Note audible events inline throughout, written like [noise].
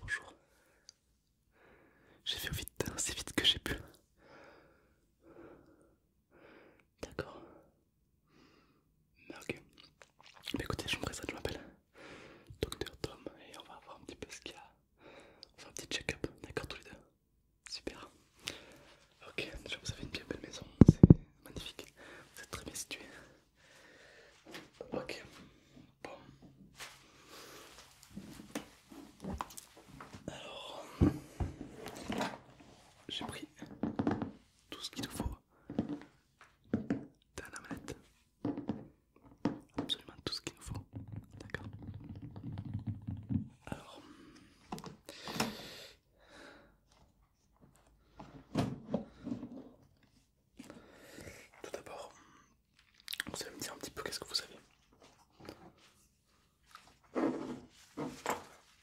Bonjour. J'ai fait vite, aussi hein, vite que j'ai pu. D'accord. Ok. écoutez, je me présente, je m'appelle Docteur Tom et on va voir un petit peu ce qu'il y a. On un petit check-up, d'accord tous les deux Super. Ok, vous avez une bien belle maison, c'est magnifique. Vous êtes très bien situé. Ok. Bon. Alors, j'ai pris tout ce qu'il nous faut dans la manette. Absolument tout ce qu'il nous faut. D'accord. Alors. Tout d'abord, vous allez me dire un petit peu qu'est-ce que vous savez.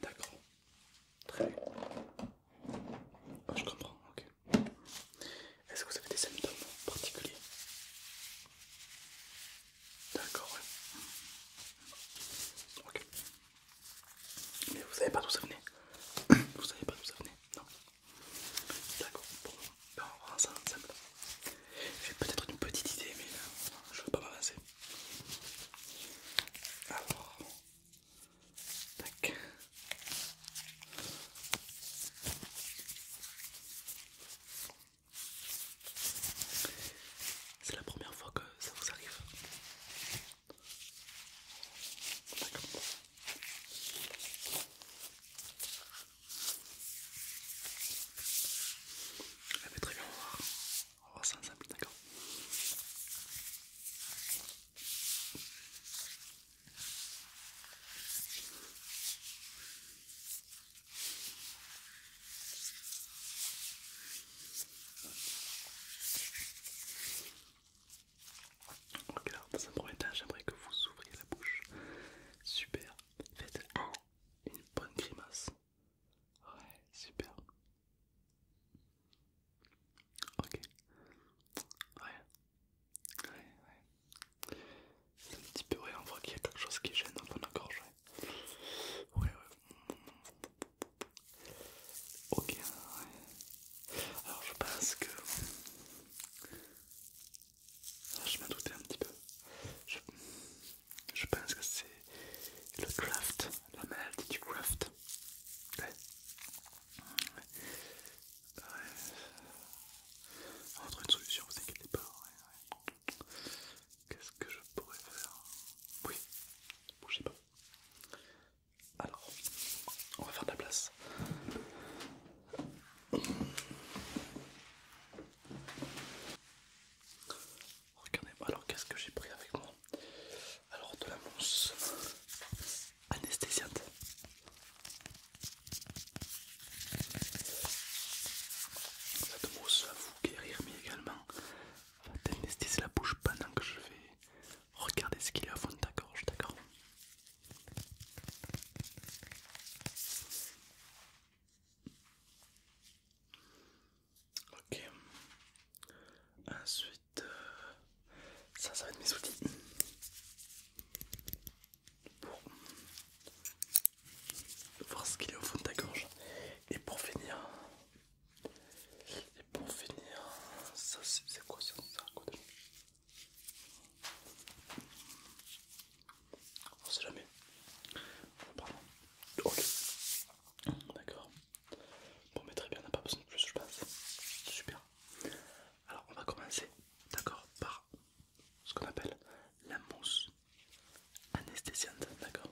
D'accord. Très bien. Ah, je comprends, ok. Est-ce que vous avez des symptômes particuliers D'accord, oui Ok. Mais vous savez pas d'où ça venait Vous savez pas d'où ça venait Non D'accord, bon, on va ça ensemble. J'ai peut-être une petite idée, mais euh, je veux pas m'avancer. Alors, tac. C'est la première fois que ça vous arrive ça va très bien, voir. d'accord ok alors dans un premier temps, j'aimerais que vous ouvriez la bouche. Super. Faites une bonne grimace. Ouais, super. Ok. Ouais. Ouais, ouais. un petit peu, ouais, on voit qu'il y a quelque chose qui gêne dans la gorge. ouais. ouais. Ok, Alors je pense que... Ah, je m'en doutais un petit peu. Je, pense que c'est le craft, la maladie du craft. Ouais. Ouais. On va trouver une solution, vous inquiétez pas. Qu'est-ce que je pourrais faire Oui, bougez pas. Alors, on va faire de la place. regardez alors qu'est-ce que j'ai pris avec moi Alors, de la mousse anesthésiante. Cette mousse va vous guérir, mais également va la bouche pendant que je vais Regardez ce qu'il y a au fond de ta gorge, d'accord Ok. Ensuite, euh, ça, ça va être mes outils. Pour voir ce qu'il y a au fond de ta gorge. Et pour finir, et pour finir, ça c'est quoi ça, quoi On sait jamais. Ok. D'accord. Bon mais très bien, on n'a pas besoin de plus, je pense. Super. Alors on va commencer, d'accord, par ce qu'on appelle la mousse anesthésiante, d'accord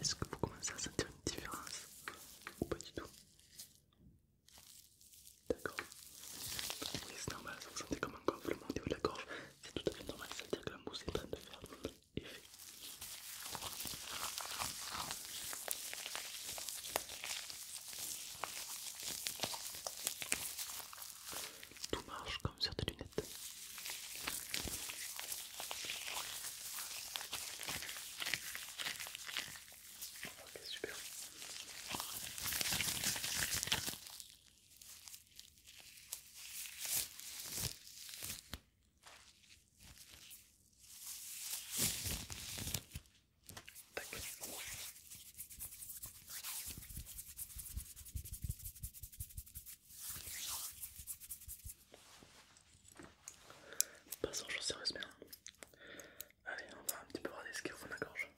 Est-ce que vous commencez à sentir une différence ou pas du tout D'accord Oui, c'est normal, ça vous sentez comme un gonflement au niveau de la gorge, c'est tout à fait normal, ça veut dire que la mousse est en train de faire effet. Tout marche comme sur des lunettes. Ok, super. Passons aux choses sérieuses bien. Allez, on va un petit peu regarder ce qu'il y a dans la gorge.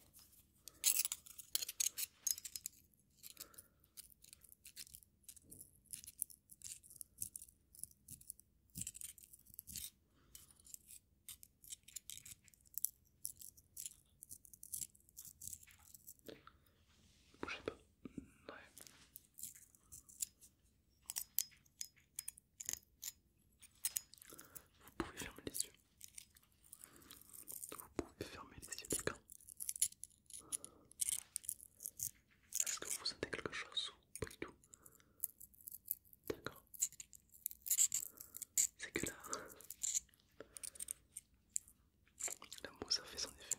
Bougez pas. Ouais. Vous pouvez fermer les yeux. Vous pouvez fermer les yeux, d'accord Est-ce que vous sentez quelque chose ou pas du tout D'accord. C'est que là, la mousse a fait son effet.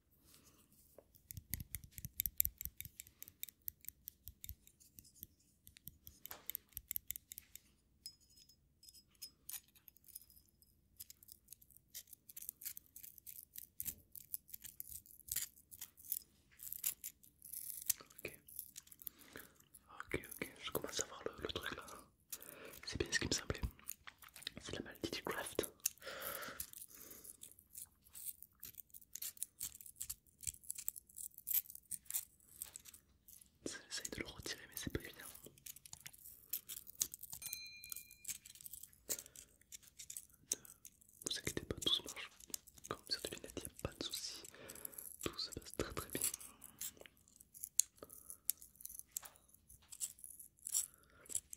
Ok, ok, ok, je commence à voir le, truc là. C'est bien ce qui me semblait. C'est la maladie du craft j'essaie de le retirer mais c'est pas évident. Ne vous inquiétez pas, tout se marche. Comme sur de lunettes, il n'y a pas de soucis. Tout se passe très très bien.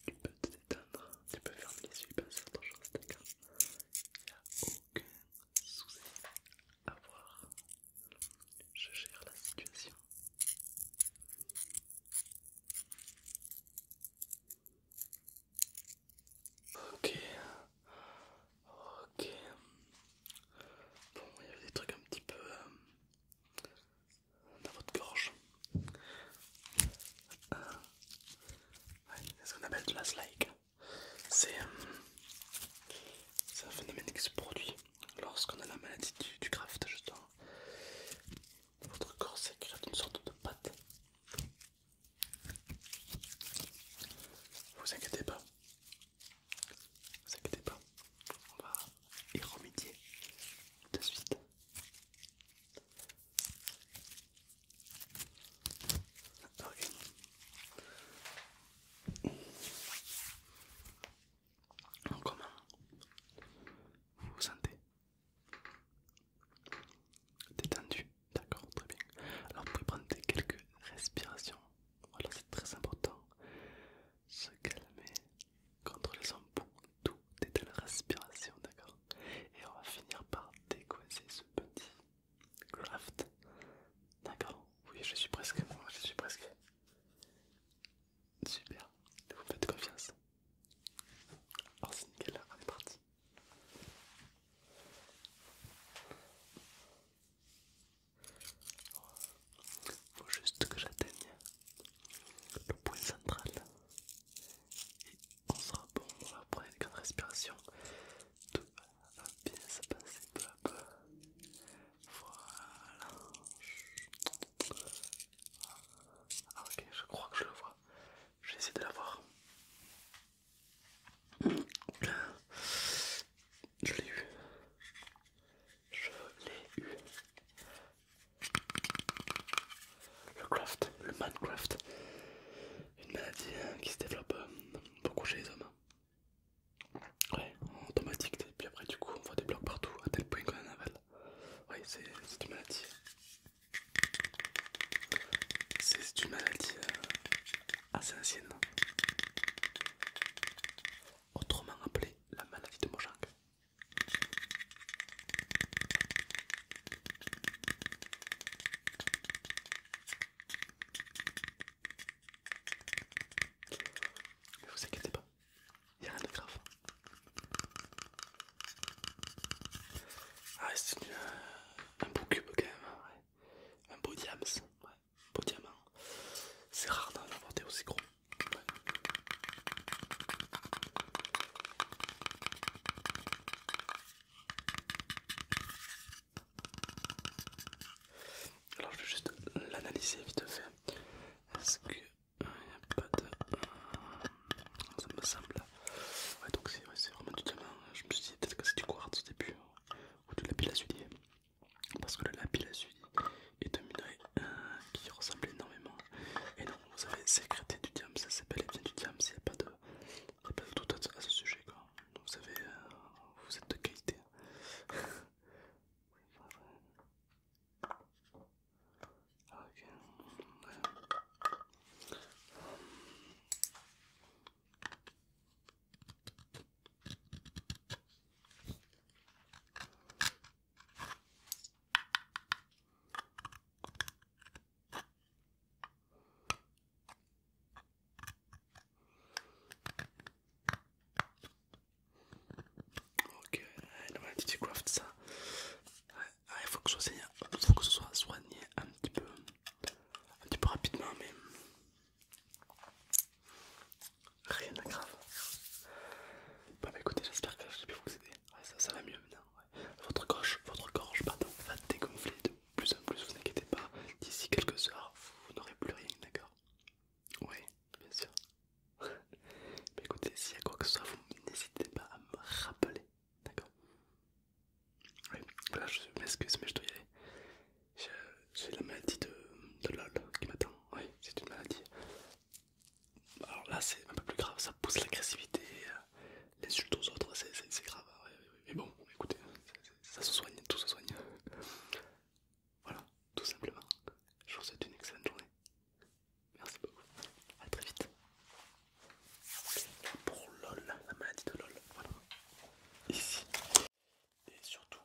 Tu peux te détendre, tu peux fermer les yeux passer faire autre chose, d'accord Il n'y a aucun souci à voir. Je gère la situation. Ok, ok. Bon, il y avait des trucs un petit peu. Euh, dans votre gorge. c'est euh, ce qu'on appelle de la slike. Euh, c'est un phénomène qui se produit lorsqu'on a la maladie du, craft justement. Votre corps sécrète une sorte de pâte. Vous inquiétez pas. Vous inquiétez pas. On va y remédier de suite. Comment vous vous sentez Détendu D'accord, très bien. Alors vous pouvez prendre quelques respirations. Voilà, c'est très important se calmer contre les embouts Tout est de la respiration, d'accord Et on va finir par décoiser ce petit craft. D'accord Oui, je suis presque. Je suis presque. Super. Vous faites confiance. Alors c'est nickel parti. Faut juste que j'atteigne le point central et on sera bon, on va prendre une grande respiration, tout va bien se passer peu à peu, voilà, ah, ok je crois que je le vois, je vais essayer de la voir, je l'ai eu, je l'ai eu. Le craft, le mancraft. Une maladie euh, qui se développe euh, beaucoup chez les hommes. Ouais, Automatique. et puis après du coup on voit des blocs partout à tel point qu'on en avale. Ouais, c'est une maladie. C'est une maladie euh, assez ancienne. Autrement appelée la maladie de Mojang. Ne vous inquiétez pas, il n'y a rien de grave. Ah, c'est euh, un beau cube quand même, hein, un beau diamant. C'est rare d'en avoir des aussi gros. Alors je vais juste l'analyser vite fait. Est-ce que n'y euh, a pas de... Euh, ça me semble. Ouais donc c'est vraiment du diamant. Euh, je me suis dit peut-être que c'est du quartz au début. Ou de la pile à parce que le lapis lazuli est de minerai euh, qui ressemble énormément et donc vous avez sécrété du diam ça s'appelle bien du diam il n'y a pas de doute à ce sujet quoi vous savez euh, vous êtes de qualité [laughs] Ok, dans la petite craft ça. il faut que, faut que ce soit soigné un petit peu, un petit peu rapidement, mais Rien de grave. Bah, écoutez, j'espère que j'ai pu vous aider. ça, va mieux maintenant. Votre gorge, votre va dégonfler de plus en plus, vous inquiétez pas. D'ici quelques heures, vous n'aurez plus rien, d'accord Oui, bien sûr. [laughs] bah écoutez, s'il y a quoi que ce soit, vous n'hésitez pas à me rappeler, d'accord Oui, là je m'excuse, mais je dois y aller c'est la maladie de, LOL qui m'attend. Oui, c'est une maladie. Alors là, c'est un peu plus grave, ça pousse l'agressivité, euh, l'insulte aux autres, c'est grave. Hein. Mais bon, écoutez, ça se soigne, tout se soigne. Voilà, tout simplement. Je vous souhaite une excellente journée. Merci beaucoup. à très vite. Pour LOL, la maladie de LOL. Voilà. Ici et surtout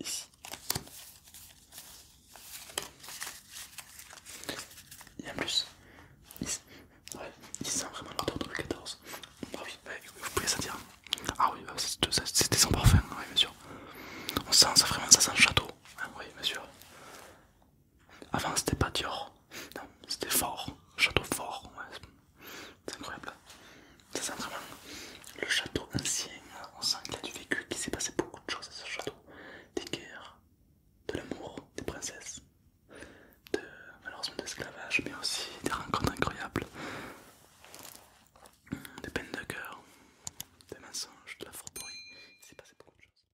ici il y a plus il, sent vraiment l'odeur de 2014, ah oui bah, vous pouvez dire, ah oui bah, c'était son parfum oui bien sûr on sent ça vraiment ça sent le château ah oui bien sûr avant c'était pas Dior, non, c'était fort, château fort, ouais. c'est incroyable. Ça sent vraiment le château ancien, on sent qu'il y a du vécu, qu'il s'est passé beaucoup de choses à ce château. Des guerres, de l'amour, des princesses, de malheureusement de l'esclavage, mais aussi des rencontres incroyables, des peines de cœur, des mensonges, de la forterie il s'est passé beaucoup de choses.